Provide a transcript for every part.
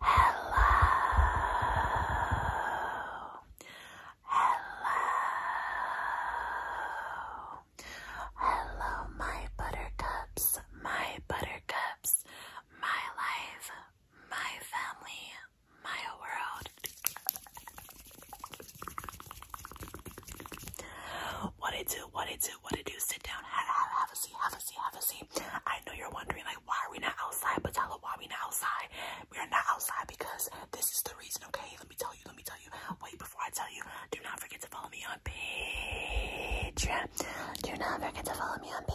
Hello. Hello. Hello, my buttercups, my buttercups, my life, my family, Maya World. What it do, what it do, what it do, sit down, have, a seat, have a seat, have a seat. I know you're wondering, like, why are we not outside? But tell her why are we not outside. We are not outside because this is the reason, okay? Let me tell you, let me tell you. Wait, before I tell you, do not forget to follow me on Patreon. Do not forget to follow I hope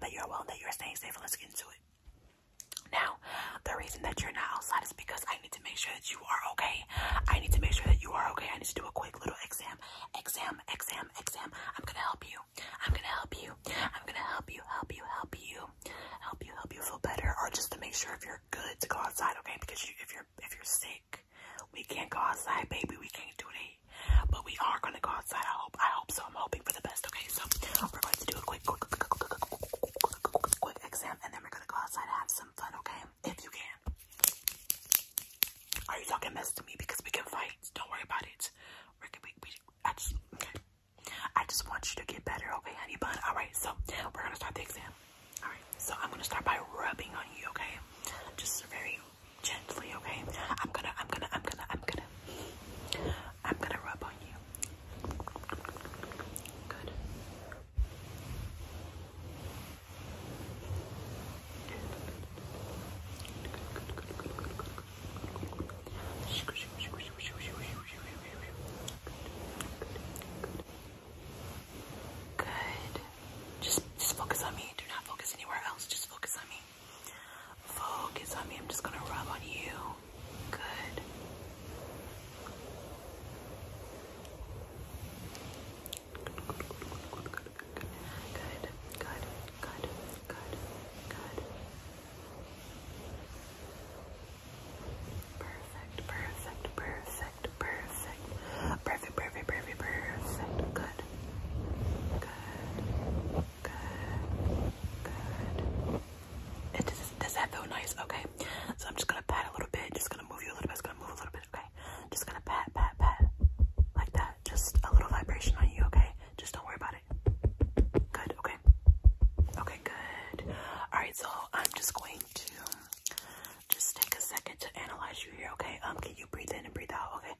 that you're well that you're staying safe. Let's get into it. Now, the reason that you're not outside is because I need to make sure that you are okay. I need to make sure that you are okay. I need to do a quick little exam, exam, exam, exam. I'm gonna help you. I'm gonna help you. I'm gonna help you, help you, help you, help you, help you feel better, or just to make sure if you're good to go outside, okay? Because if you're if you're sick, we can't go outside, baby. We can't do it today, but we are gonna go outside. I hope. I hope so. I'm hoping for the best. Okay, so we're going to do a quick, quick, quick, quick, quick, quick, quick, quick exam, and then we're gonna go outside and have some fun. Okay, if you can. Are you talking mess to me? Because we can fight. Don't worry about it. We're gonna. We, we, I just. Okay. I just want you to get better. Okay, honey bun. All right. So we're gonna start the exam. All right. So I'm gonna start by rubbing on you. Okay. Just very gently, okay? I'm gonna, I'm gonna, I'm gonna, I'm gonna, I'm gonna rub on you. Good. Good. Just, just focus on me. Do not focus anywhere else. Just focus on me. Focus on me. I'm just going to rub on you. Good. Good, good, good, good, good, good, good, good, good, good, good. Perfect, perfect, perfect, perfect, perfect, perfect, perfect, perfect. Good, good good. It does, that feel nice? Okay. So I'm just gonna pat a little bit, just gonna move you a little bit, just gonna move a little bit, okay? Just gonna pat, pat, pat. Like that. Just a little vibration on you, okay? Just don't worry about it. Good, okay. Okay, good. Alright, so I'm just going to just take a second to analyze you here, okay? Um, can you breathe in and breathe out, okay?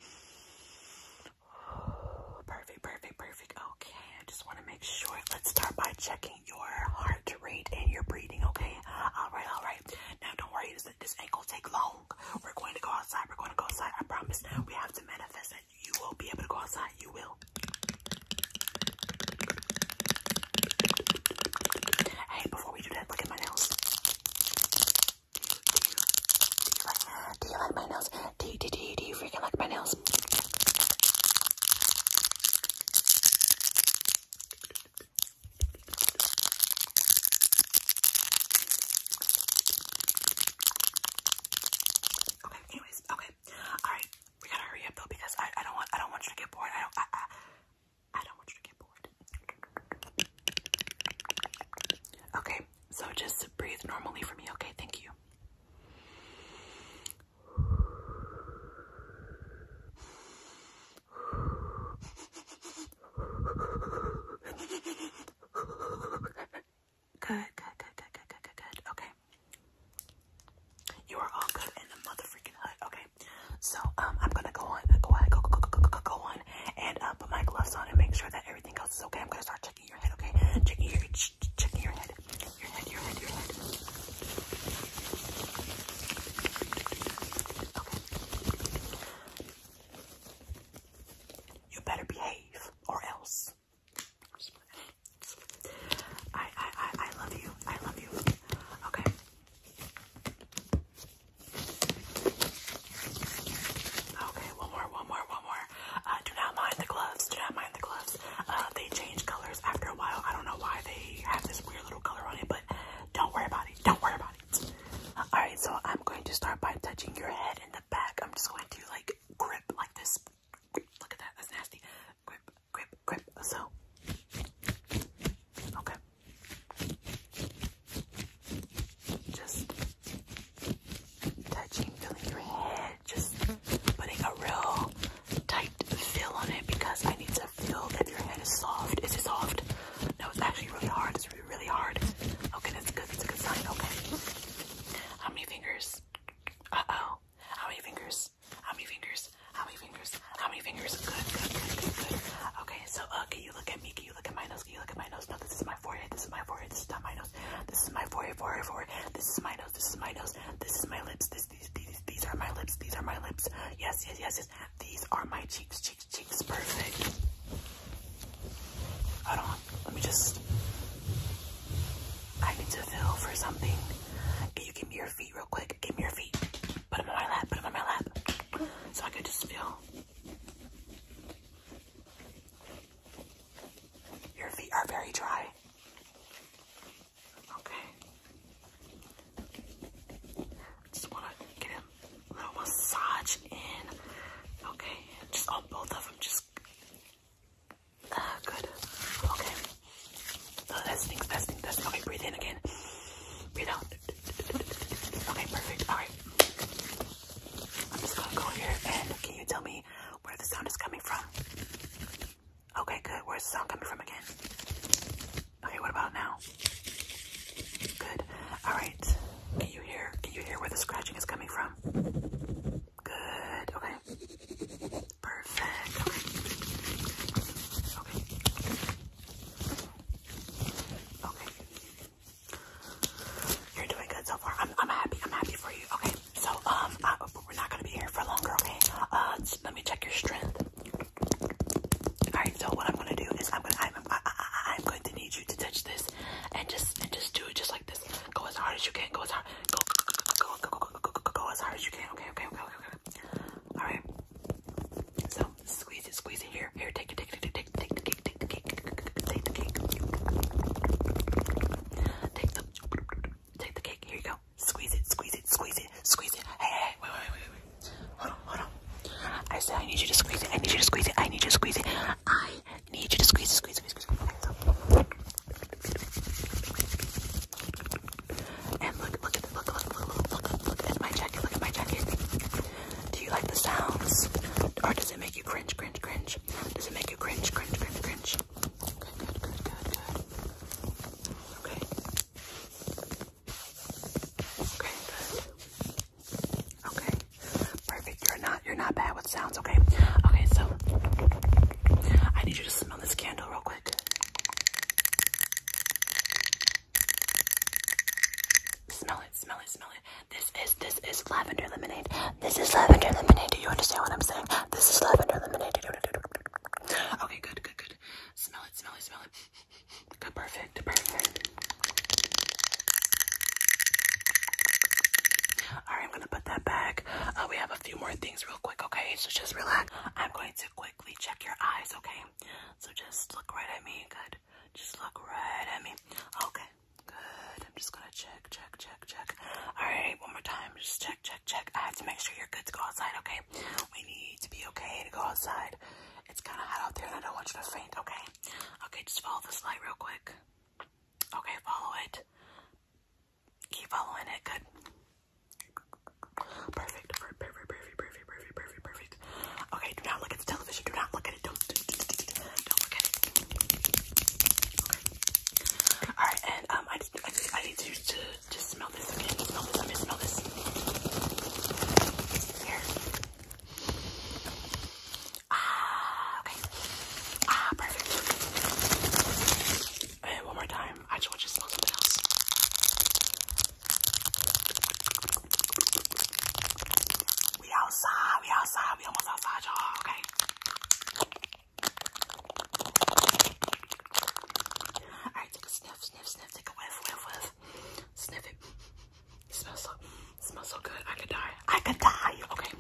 Perfect, perfect, perfect. Okay, I just want to make sure. Let's start by checking your heart rate and your breathing, okay? All right, all right. Now, don't worry, this, this ain't gonna take long. We're going to go outside. We're going to go outside. I promise. We have to manifest that you will be able to go outside. You will. Hey, before we do that, look at my nails you like, do you like my nails? Do you, do, do, do you freaking like my nails? Okay, anyways, okay. Alright, we gotta hurry up though because I, I don't want I don't want you to get bored. I don't I, I, I don't want you to get bored. Okay, so just breathe normally for me, okay? Thank you. Good, good, good, good, good, good, good, Okay. You are all good in the mother hood. Okay. So um I'm gonna go on go ahead, go go go go go go on and uh put my gloves on and make sure that everything else is okay. I'm gonna start checking your head, okay? Checking your, head. checking your head, your head, your head, your head. Okay. You better behave, or else. I, I, I, I love you. I love you. Okay. Okay, one more, one more, one more. Uh, do not mind the gloves. Do not mind the gloves. Uh, they change colors after a while. I don't know why they have this weird little color on it, but don't worry about it. Don't worry about it. Alright, so I'm going to start by touching your head and the back. I'm just going to like grip like this. Look at that. That's nasty. Grip, grip, grip. So, okay. Just touching, feeling your head, just putting a real tight feel on it because I need to feel that your head is soft. Is it soft? No, it's actually really hard. It's really, really hard. Okay, that's good. That's a good sign. Okay. How many fingers? Uh-oh. How many fingers? How many fingers? How many fingers? How many fingers? Good, good, good, good, Okay, so okay, uh, you look at me? Can you look at mine? you look at my nose? No, this is my forehead. This is my forehead. This is not my nose. This is my forehead, forehead, forehead. This is my nose. This is my nose. This is my lips. This, these, these, these are my lips. These are my lips. Yes, yes, yes, yes. These are my cheeks, cheeks, cheeks. Perfect. Hold on. Let me just. I need to feel for something. Can you give me your feet real quick? Give me your feet. Put them on my lap. Put them on my lap. So I can just feel. Your feet are very dry. Okay. Just want to get a little massage in. Okay. Just on both of them. Just. Uh, good. Okay. No, uh, that stinks, that stinks, that Okay, breathe in again. Breathe out. Okay, perfect. All right. I'm just gonna go here and can you tell me where the sound is coming from. Okay, good. Where's the sound coming from again? Okay, what about now? Good. All right. Can you hear? Can you hear where the scratching is coming from? Good. Okay. Perfect. Okay. Okay. You're doing good so far. I'm, I'm happy. I'm happy for you. Okay. So, um, I, we're not going to be here for longer. Okay. Uh, let me check your strength. All right. So what I'm going to do is I'm going to, I'm, I, I, I'm going to need you to touch this and just, and just do it just like this. Go as hard as you can. Go as hard. Go, go, go, go, go, go, go, go, go as hard as you can. Okay. Okay. Okay. Okay. okay. All right. So squeeze it. Squeeze it here. Here. Take it. Take it. Take it. Take it. Take it. Take it. Take it cake. Take the cake. Take the take the cake. Here you go. Squeeze it, squeeze it, squeeze it, squeeze it. Hey, hey, wait, wait, wait, wait. Hold on, hold on. I said I need you to squeeze it. I need you to squeeze it. I need you to squeeze it. I need you to squeeze it, squeeze it, squeeze it. Okay, so. And look, look at the look, look, look, look, look at my jacket. Look at my jacket. Do you like the sounds, or does it make you cringe, cringe, cringe? Does it make did you cringe, cringe, cringe, cringe? Good, good, good, good, good. Okay. Okay, good. Okay. Perfect. You're not you're not bad with sounds, okay? Okay, so I need you to smell this candle real quick. Smell it, smell it, smell it. This is this is lavender lemonade. This is lavender lemonade. Do you understand what I'm saying? This is lavender lemonade. Okay, good, good, good. Smell it, smell it, smell it. Good, perfect, perfect. Alright, I'm gonna put that back. Uh, we have a few more things real quick, okay? So just relax. I'm going to quickly check your eyes, okay? So just look right at me, good. Just look right at me. Okay, Good. I'm just gonna check, check, check, check. Alright, one more time. Just check, check, check. I have to make sure you're good to go outside, okay? We need to be okay to go outside. It's kinda hot out there and I don't want you to faint, okay? Okay, just follow this light real quick. Okay, follow it. Keep following it, good. Perfect, perfect, perfect, perfect, perfect, perfect, perfect. Okay, do not look at the television. Do not look at it. Don't. Don't look at it. Okay. All right, and um, I just, I just, I need you to just smell this again. Smell this. I mean, smell this. Here. Ah, okay. Ah, perfect. And one more time. I just want you to smell something else. We outside, we outside, we almost outside, y'all, okay? Alright, take a sniff, sniff, sniff, take a whiff, whiff, whiff. Sniff it. Smells so smells so good. I could die. I could die. Okay.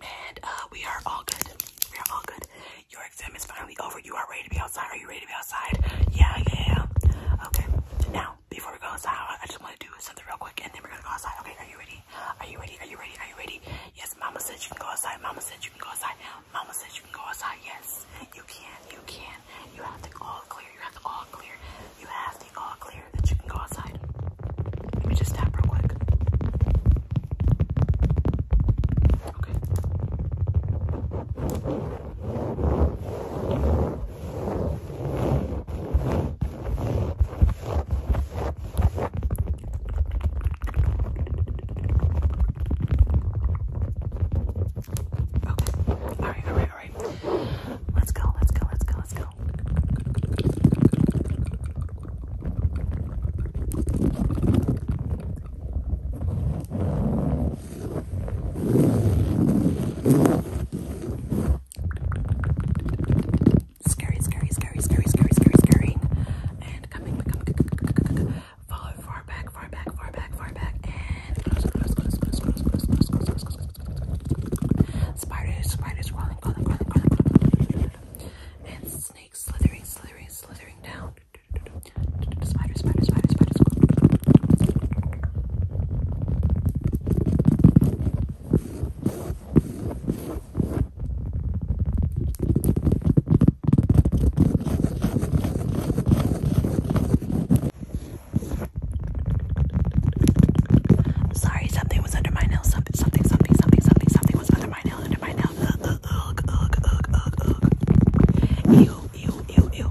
And uh we are all good. We are all good. Your exam is finally over. You are ready to be outside. Are you ready to be outside? Yeah, yeah, Okay. Now, before we go outside, I just want to do something real quick and then we're gonna go outside. Okay, are you ready? Are you ready? Are you ready? Are you ready? Yes, mama said you can go outside. Mama said you can go outside. Mama said you can go outside. Yes, you can. You can. You have the all clear. You have the all clear. You have the all clear that you can go outside. Let me just tap real quick. Okay all right, all right, all right. Let's go, let's go, let's go, let's go scary, scary, scary, scary, scary, scary, scary, and coming, coming, follow far back, far back, far back, far back, and close, close, close, close, close, close, close, close, close, close, spiders, spiders, crawling, crawling, crawling, crawling, and snakes slithering, slithering, slithering down. Spider, spider, spider, spider. Sorry, something was under my nail. Something, something, something, something, something, was under my nail. Under my nail. Ugh, ugh, ugh, ugh, ugh, ugh. Ew, ew, ew,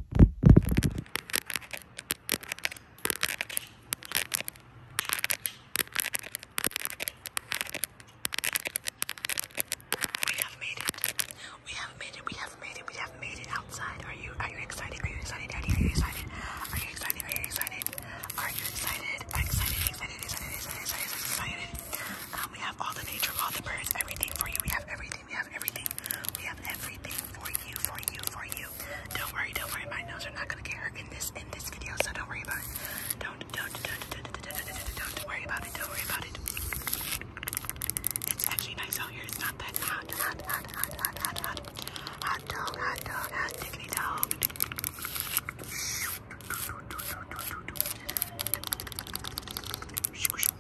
We have made it. We have made it. We have made it. We have made it outside. Are you are you excited? Are you excited, Daddy? Are you excited? Are you excited? Are you excited? Are you excited? Excited, excited, excited, excited, excited, excited. Um, we have all the nature, all the birds, everything for you. We have everything everything. We have everything. We have everything for you, for you, for you. Don't worry, don't worry. My nails are not gonna get hurt in this in this video, so don't worry about it. Don't don't don't don't don't don't, don't worry about it. Don't worry about it. It's actually nice out here. It's not that hot, hot, hot, hot, hot, hot, hot, hot dog, hot dog, hot diggity dog. Squish,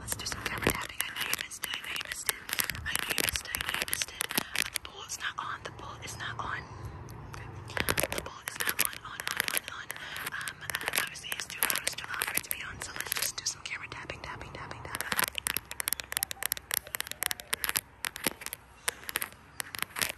Let's do some camera tapping. I know you missed it. I know you missed it. I know you missed it. I know you missed it. The bowl is not on. The bowl is not on. The bowl is not on. On, on, on, on. Um, obviously, it's too loud. It's too loud to be on. So let's just do some camera tapping, tapping, tapping, tapping.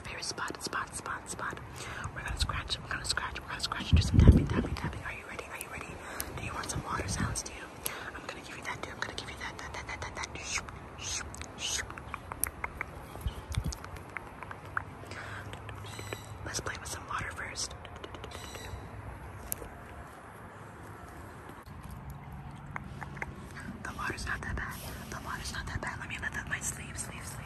our favorite spot, spot, spot, spot. We're gonna scratch, we're gonna scratch, we're gonna scratch, do some tapping, tapping, tapping. Are you ready? Are you ready? Do you want some water sounds? Do you? I'm gonna give you that, dude. I'm gonna give you that, that, that, that, that, that. Shoop, shoop, shoop. Let's play with some water first. The water's not that bad. The water's not that bad. Let me lift up my sleeve, sleeve, sleeve.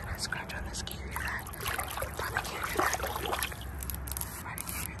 I scratch on this, can you hear that? Probably can't hear that. Probably can't hear that.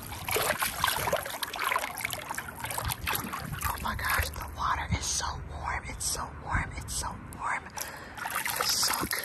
Oh my gosh, the water is so warm. It's so warm. It's so warm. It's so good.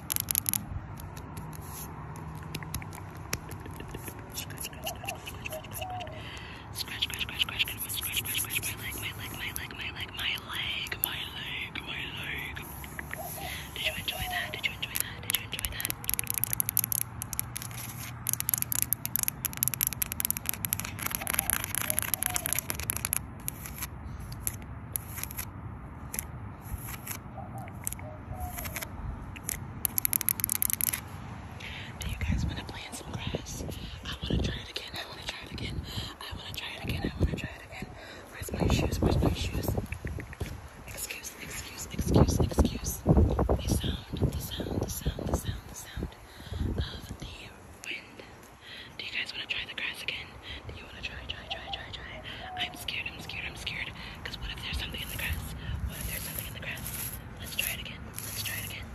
Scratch, scratch, scratch, scratch, scratch, scratch, scratch, scratch, scratch, my leg, my leg, my leg, my leg, my leg, my leg, my leg. Did you enjoy that? Did you enjoy that? Did you enjoy that? Do you guys want to plant some grass? I want to try it again. I want to try it again. I want to try it again. I want to try it again. Where's my shoes? Where's my shoes? Excuse, excuse, excuse, excuse. The sound, the sound, the sound, the sound, the sound of the wind. Do you guys want to try the grass again? Do you want to try, try, try, try, try? I'm scared, I'm scared, I'm scared. Because what if there's something in the grass? What if there's something in the grass? Let's try it again. Let's try it again.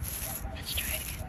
Let's try it again.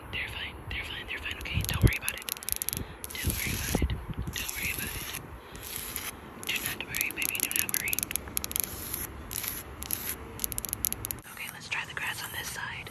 They're fine. They're fine. They're fine. Okay, don't worry about it. Don't worry about it. Don't worry about it. Do not worry, baby. Do not worry. Okay, let's try the grass on this side.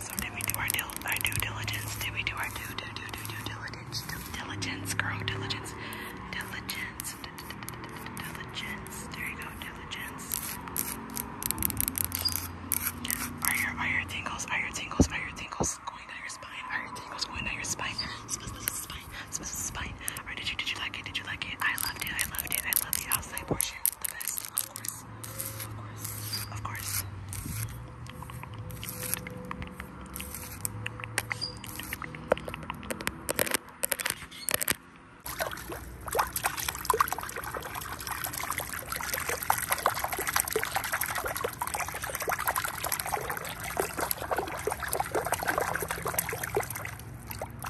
So did we do our, dil our due diligence? Did we do our due, due, due, due, due diligence? Dil diligence, girl, diligence. Diligence. D -d -d -d -d -d diligence. There you go, diligence. Are your, are your tingles, are your tingles, are your tingles going down your spine? Are your tingles going down your spine? Spine, spine, spine, spine. Or did you, did you like it? Did you like it? I loved it, I loved it, I loved the outside portion of course. Of course. Of course.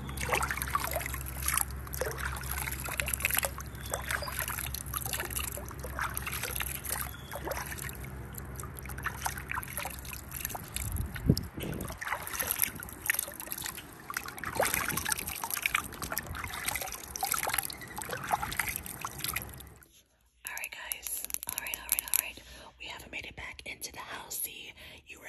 All right, guys. All right, all right, all right. We haven't made it back into the housey. You were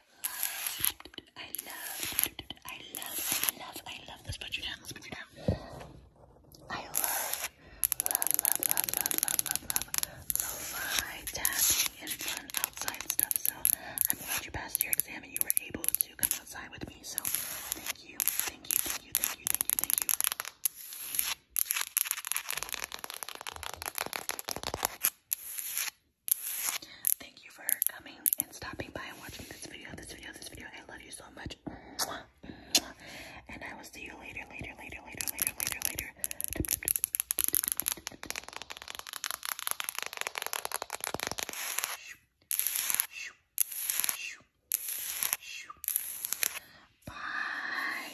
I love, I love, I love, I love this. Put you down, let's put you down. I love, love, love, love, love, love, love, love, lo-fi tapping and fun outside stuff. So I'm glad you passed your exam and you were able to come outside with me. So thank you, thank you, thank you, thank you, thank you, thank you. Thank you for coming and stopping by and watching this video, this video, this video. I love you so much. And I will see you later, later, later, later, later, later, later. Bye.